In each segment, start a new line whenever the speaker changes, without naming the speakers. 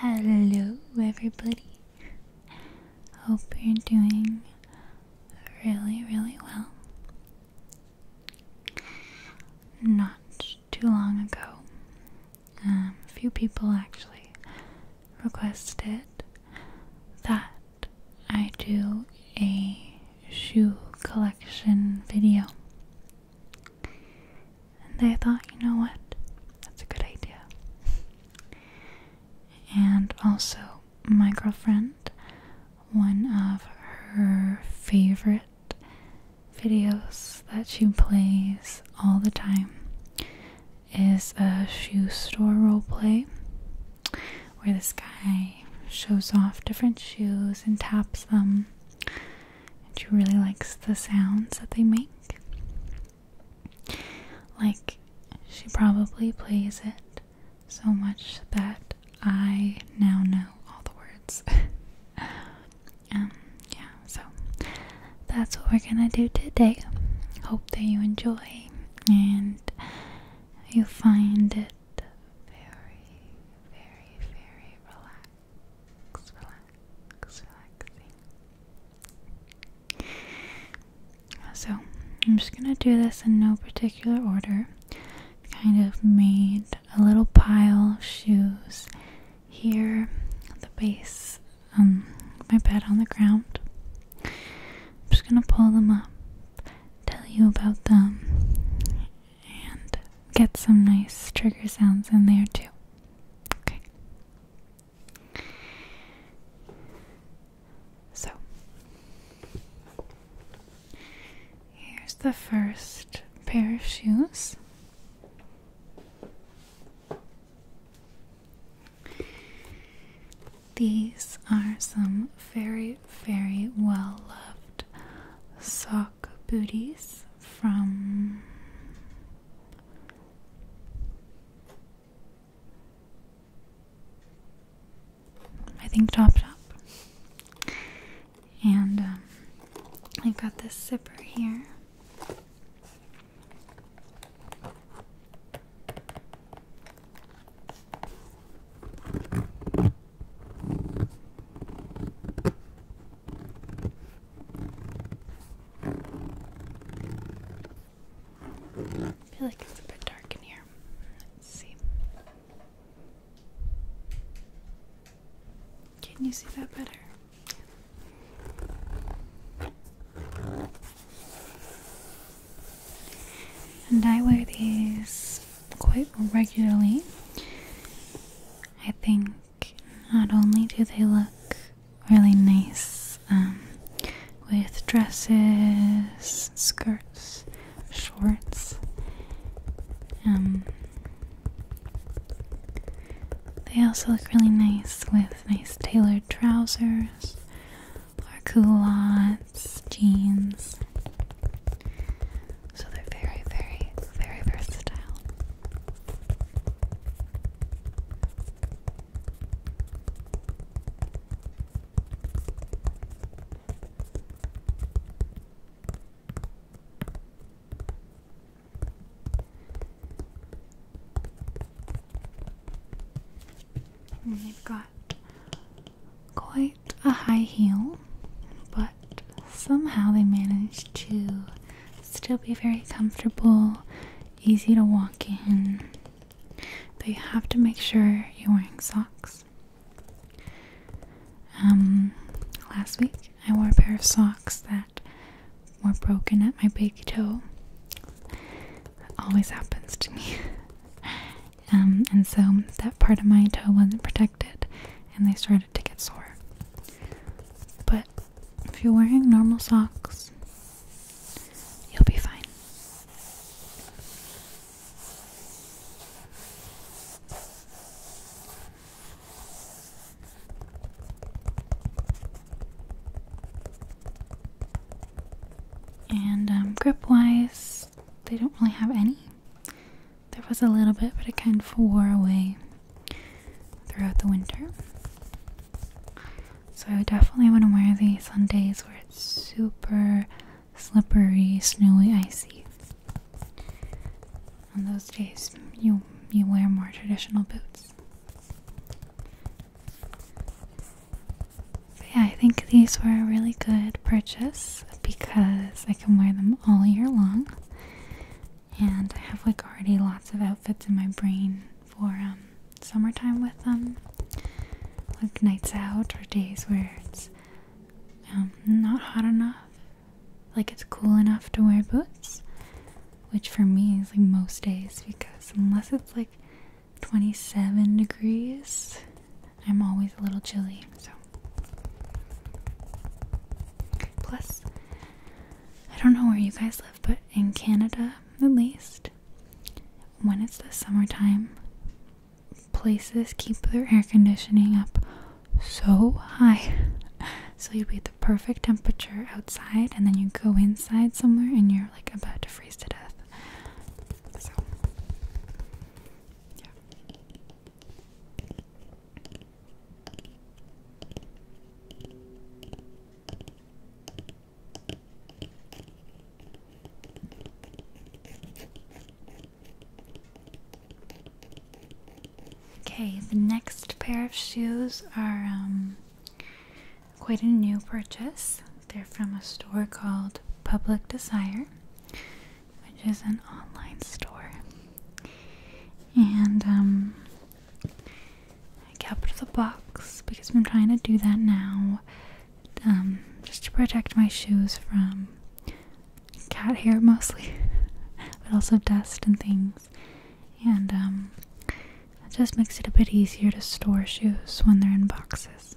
Hello, everybody. Hope you're doing really, really well. Not too long ago, um, a few people actually requested that I do a shoe collection video. And I thought, you know what? That's a good idea. And also, my girlfriend, one of her favorite videos that she plays all the time is a shoe store role play, where this guy shows off different shoes and taps them. And she really likes the sounds that they make. Like, she probably plays it so much that I now know all the words. Um, yeah, so that's what we're gonna do today. Hope that you enjoy and you find it very, very, very relaxing. So, I'm just gonna do this in no particular order. Kind of made a little pile of shoes here at the base um my bed on the ground. I'm just gonna pull them up, tell you about them, and get some nice trigger sounds in there too. Okay. So, here's the first pair of shoes. These are some very, very well loved sock booties from I think Top Shop, and um, I've got this zipper here. I feel like it's a bit dark in here. Let's see. Can you see that better? And I wear these quite regularly. I think not only do they look really nice um, with dresses, skirts, shorts, um, they also look really nice with nice tailored trousers or culottes, jeans. So they're very, very, very versatile we have got quite a high heel, but somehow they manage to still be very comfortable, easy to walk in. But you have to make sure you're wearing socks. Um, last week I wore a pair of socks that were broken at my big toe. always happens to me. um, and so that part of my toe wasn't protected and they started to get sore. But if you're wearing normal socks, you'll be fine. And um, grip wise, they don't really have any. There was a little bit, but it kind of wore away throughout the winter. So I would definitely want to wear these on days where it's super slippery, snowy, icy. On those days, you you wear more traditional boots. But yeah, I think these were a really good purchase because I can wear them all year long and I have like already lots of outfits in my brain for um, summertime with them, like nights out or days where it's um, not hot enough, like it's cool enough to wear boots, which for me is like most days because unless it's like 27 degrees, I'm always a little chilly. So Plus, I don't know where you guys live, but in Canada at least, when it's the summertime, places keep their air conditioning up so high. So you'd be at the perfect temperature outside, and then you go inside somewhere and you're like about to freeze to death. So, yeah. Okay, the next pair of shoes are um, quite a new purchase. They're from a store called Public Desire which is an online store. And um, I kept the box because I'm trying to do that now, um, just to protect my shoes from cat hair mostly, but also dust and things. And um, it just makes it a bit easier to store shoes when they're in boxes.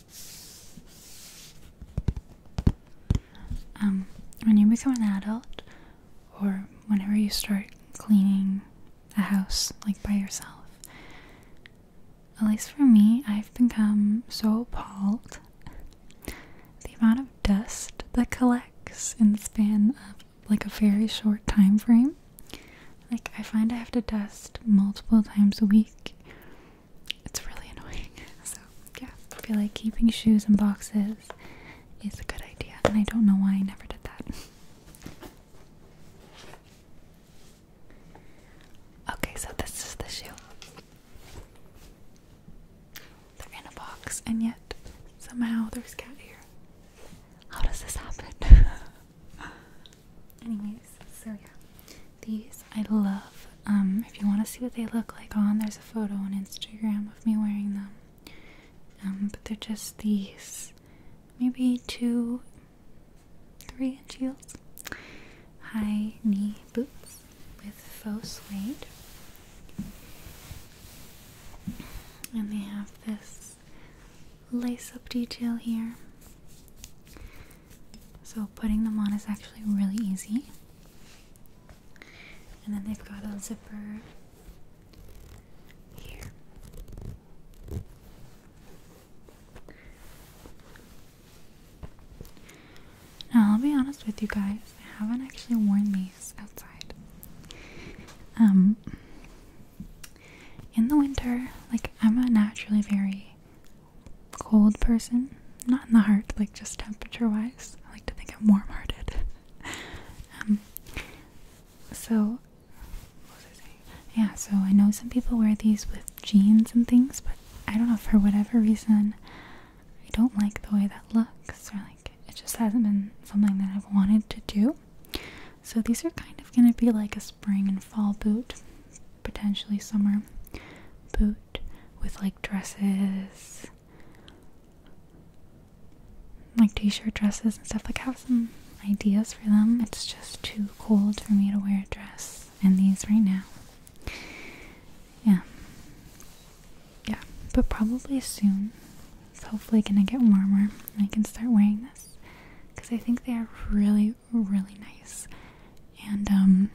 Um, when you become an adult, or whenever you start cleaning a house like by yourself, at least for me, I've become so appalled the amount of dust that collects in the span of like a very short time frame. Like I find I have to dust multiple times a week it's really annoying. So yeah, I feel like keeping shoes in boxes is a good idea, and I don't know why I never did that. Okay, so this is the shoe. They're in a box, and yet somehow there's cat here. How does this happen? Anyways, so yeah. These I love. Um, if you want to see what they look like on, there's a photo on Instagram of me wearing them. Um, but they're just these maybe two, three inch heels, high knee boots with faux suede. And they have this lace up detail here. So putting them on is actually really easy. And then they've got a zipper here. Now, I'll be honest with you guys, I haven't actually worn these outside. Um, in the winter, like I'm naturally very cold person. Not in the heart, like just temperature wise. I like to think I'm warm hearted. Um, so, Yeah, so I know some people wear these with jeans and things, but I don't know, for whatever reason, I don't like the way that looks, or like it just hasn't been something that I've wanted to do. So, these are kind of going to be like a spring and fall boot potentially summer boot with like dresses, like t shirt dresses and stuff. Like, have some ideas for them. It's just too cold for me to wear a dress in these right now. Yeah. Yeah, but probably soon. It's hopefully gonna get warmer. I can start wearing this because I think they are really, really nice. And um,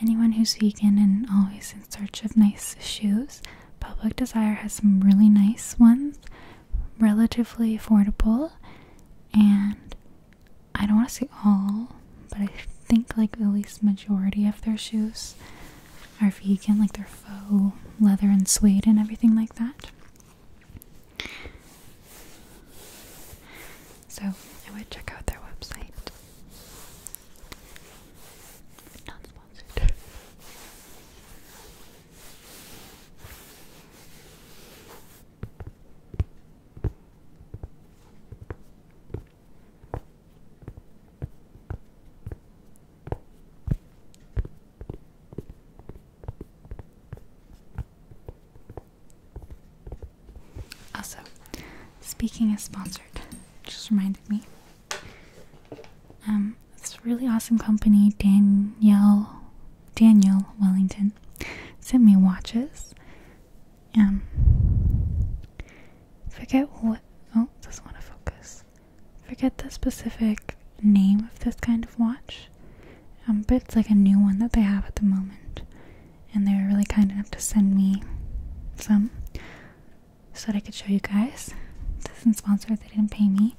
anyone who's vegan and always in search of nice shoes, Public Desire has some really nice ones, relatively affordable. And I don't want to say all, but I think like at least majority of their shoes are vegan, like their faux leather and suede and everything like that. So I would check out their website. Not sponsored. Also, speaking as sponsored, just reminded me. Um, it's a really awesome company, Danielle Daniel Wellington sent me watches. Um forget what oh, doesn't want to focus. Forget the specific name of this kind of watch. Um, but it's like a new one that they have at the moment and they were really kind enough to send me some so that I could show you guys. This isn't sponsored, they didn't pay me.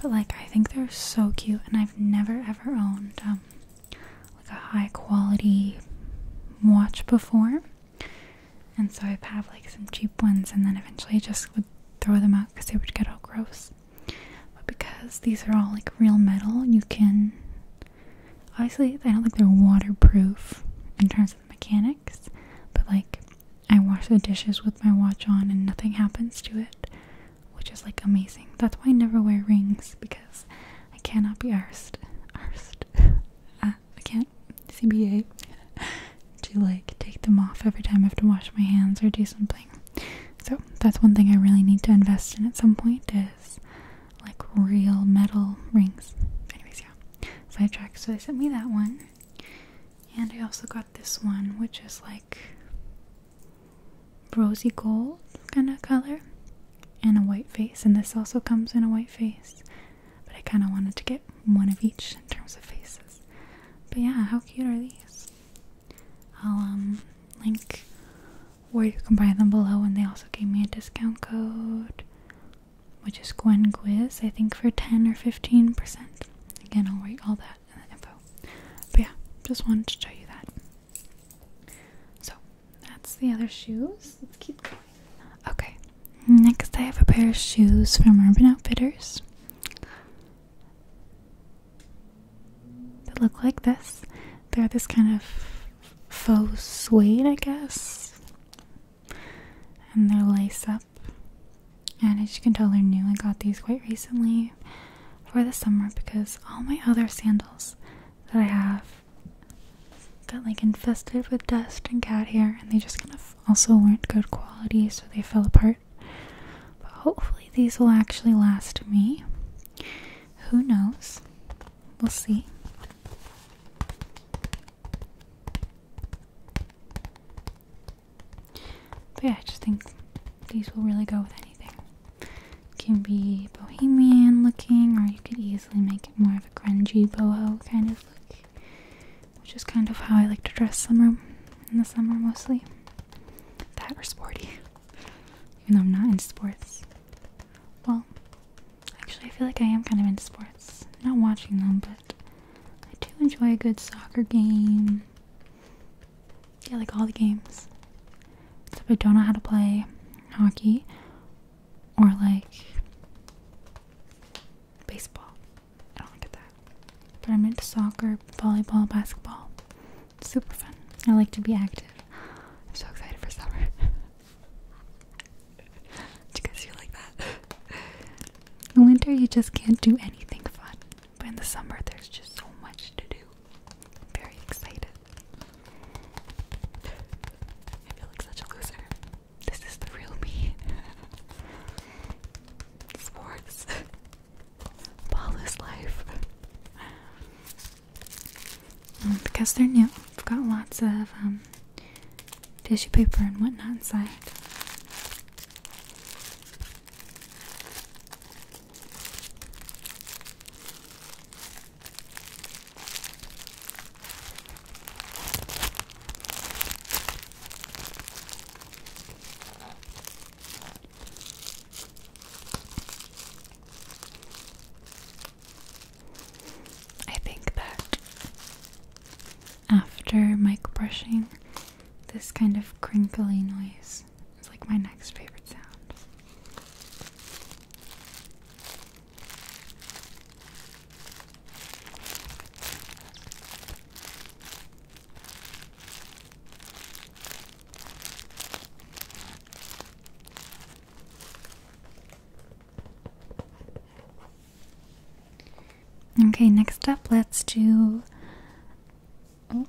But like I think they're so cute and I've never ever owned um, like a high quality watch before. And so i have had like some cheap ones and then eventually I just would throw them out because they would get all gross. But because these are all like real metal, you can. Obviously, I don't think they're waterproof in terms of the mechanics, but like I wash the dishes with my watch on and nothing happens to it, which is like amazing. That's why I never wear rings because I cannot be arsed. Arsed. Uh, I can't. CBA. to like take them off every time I have to wash my hands or do something. So that's one thing I really need to invest in at some point is like real metal rings. Anyways, yeah. Side track. So they sent me that one. And I also got this one, which is like rosy gold kind of color and a white face. And this also comes in a white face. But I kind of wanted to get one of each in terms of faces. But yeah, how cute are these? I'll um, link where you can buy them below, and they also gave me a discount code, which is Gwen Quiz, I think for 10 or 15%. Again, I'll write all that in the info. But yeah, just wanted to show you that. So, that's the other shoes. Let's keep going. Okay, next I have a pair of shoes from Urban Outfitters. They look like this. They're this kind of faux suede, I guess. And they're lace up. And as you can tell, they're new. I got these quite recently for the summer because all my other sandals that I have got like infested with dust and cat hair, and they just kind of also weren't good quality, so they fell apart. But hopefully, these will actually last me. Who knows? We'll see. But yeah, I just think these will really go with anything. can be bohemian looking, or you could easily make it more of a grungy boho kind of look, which is kind of how I like to dress summer in the summer mostly. That or sporty. Even though I'm not into sports. Well, actually, I feel like I am kind of into sports. Not watching them, but I do enjoy a good soccer game. Yeah, like all the games. Except I don't know how to play hockey or like baseball. I don't get that. But I'm into soccer, volleyball, basketball. It's super fun. I like to be active. I'm so excited for summer. do you guys feel like that? In winter, you just can't do anything fun. But in the summer, there's just so much to do. I'm very excited. I feel like such a loser. This is the real me. Sports. Paula's life. Um, because they're new, I've got lots of um, tissue paper and whatnot inside. I think that after mic brushing, this kind of crinkly noise is like my next favorite sound. Okay, next up, let's do. Oh,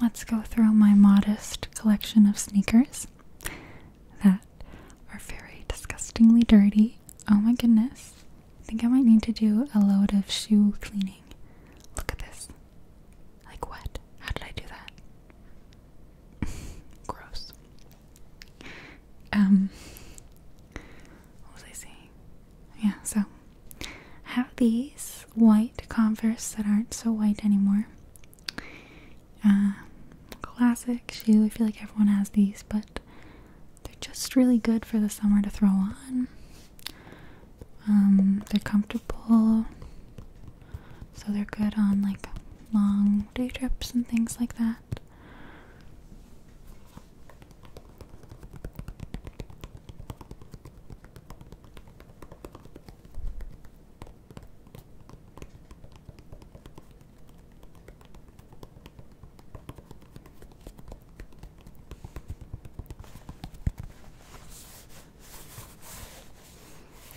let's go through my modest collection of sneakers that are very disgustingly dirty Oh my goodness. I think I might need to do a load of shoe cleaning. Look at this. Like what? How did I do that? Gross. Um what was I saying? Yeah, so I have these white converse that aren't so white anymore. Um, classic shoe. I feel like everyone has these, but they're just really good for the summer to throw on. Um, they're comfortable, so they're good on like long day trips and things like that.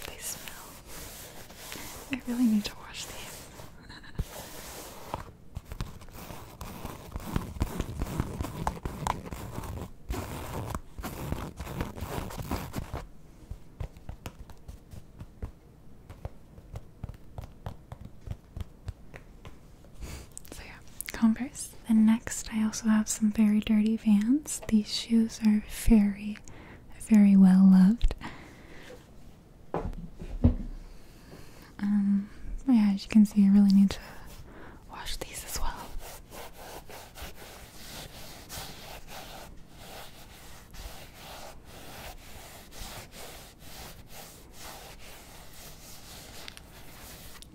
They smell. I really need to wash these. So yeah, Converse. Then next I also have some very dirty Vans. These shoes are very, very well loved. Um, yeah, as you can see, I really need to wash these as well.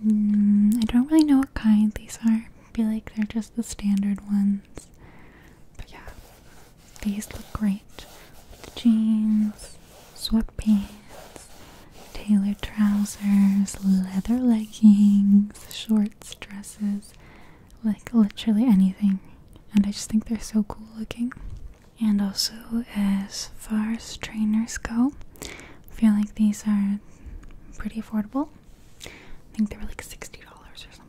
Mm, I don't really know what kind these are. I feel like they're just the standard ones. But yeah, these look great. The jeans, sweatpants, tailored trousers, leather leggings, shorts, dresses like literally anything. And I just think they're so cool looking and also as far as trainers go I feel like these are pretty affordable I think they were like $60 or something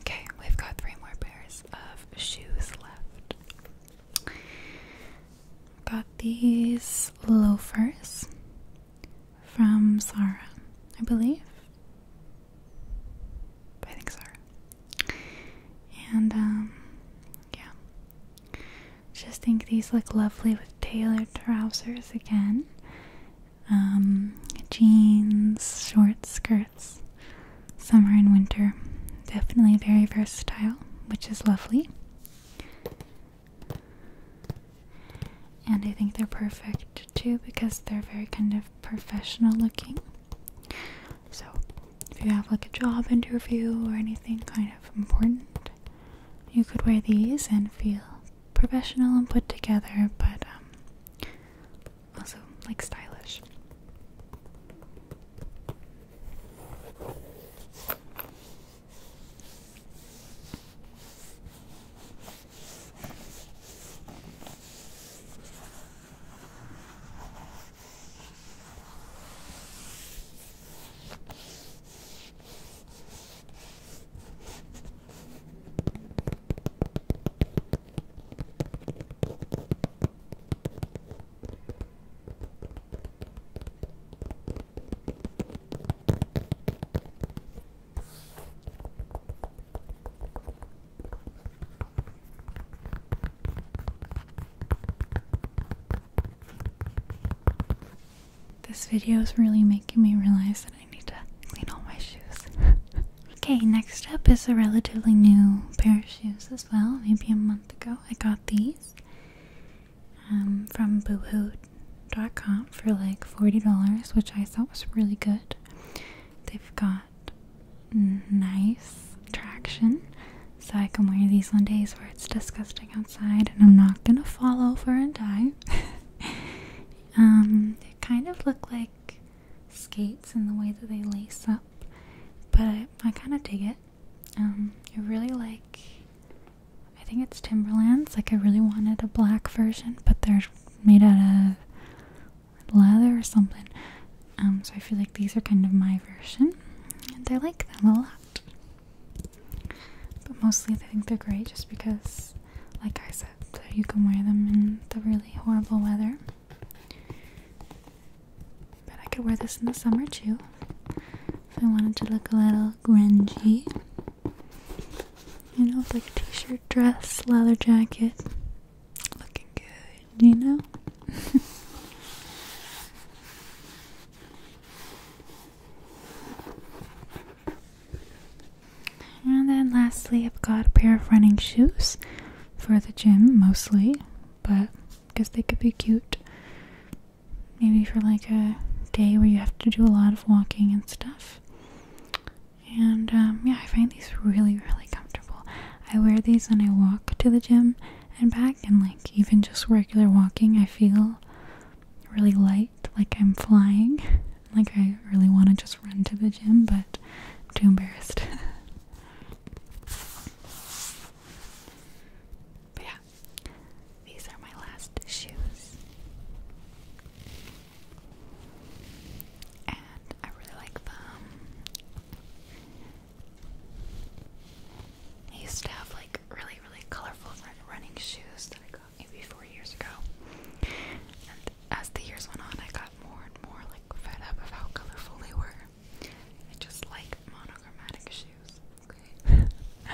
Okay, we've got three more pairs of shoes left. Got these loafers from Zara, I believe. I think Zara. And, um, yeah. Just think these look lovely with tailored trousers again. Um, jeans, short skirts, summer and winter. Definitely very versatile, which is lovely. And I think they're perfect too because they're very kind of professional looking. So, if you have like a job interview or anything kind of important, you could wear these and feel professional and put together, but um, also, like, stylish. This video is really making me realize that I need to clean all my shoes. okay, next up is a relatively new pair of shoes as well. Maybe a month ago, I got these um, from Boohoo.com for like forty dollars, which I thought was really good. They've got nice traction, so I can wear these on days where it's disgusting outside and I'm not gonna fall over and die. um, they kind of look like skates and the way that they lace up, but I, kind of dig it. Um, I really like, I think it's Timberlands. Like, I really wanted a black version, but they're made out of leather or something. Um, so I feel like these are kind of my version, and I like them a lot. But mostly, I think they're great just because, like I said. So you can wear them in the really horrible weather. But I could wear this in the summer too if I wanted to look a little grungy. You know, like a t shirt, dress, leather jacket. Looking good, you know? And then lastly, I've got a pair of running shoes for the gym mostly, but because they could be cute. Maybe for like a day where you have to do a lot of walking and stuff. And um, yeah, I find these really, really comfortable. I wear these when I walk to the gym and back, and like even just regular walking, I feel really light, like I'm flying. Like, I really want to just run to the gym, but I'm too embarrassed. but yeah, these are my last shoes. And I really like them. used to have like really, really colorful running shoes maybe four years ago. And as the years went on, I got more and more like fed up of how colorful they were. I just like monochromatic shoes. Okay.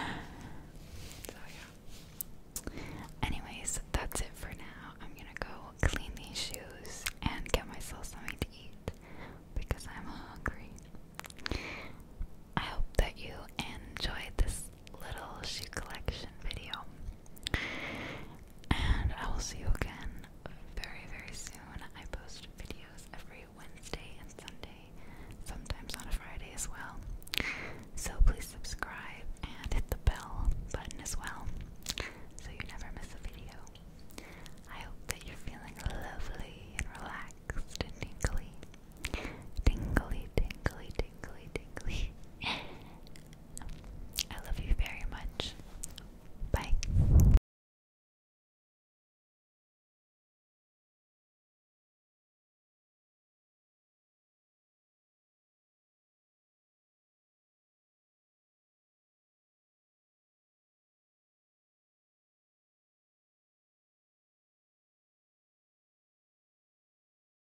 so yeah. Anyways, that's it for now. I'm gonna go clean these shoes and get myself something to eat because I'm hungry. I hope that you enjoyed this little shoe collection video. And I will see you again very, very soon. I post videos every Wednesday and Sunday, sometimes on a Friday as well. So please subscribe and hit the bell button as well so you never miss a video. I hope that you're feeling lovely and relaxed and tingly. Tingly, tingly, tingly, tingly. I love you very much. Bye.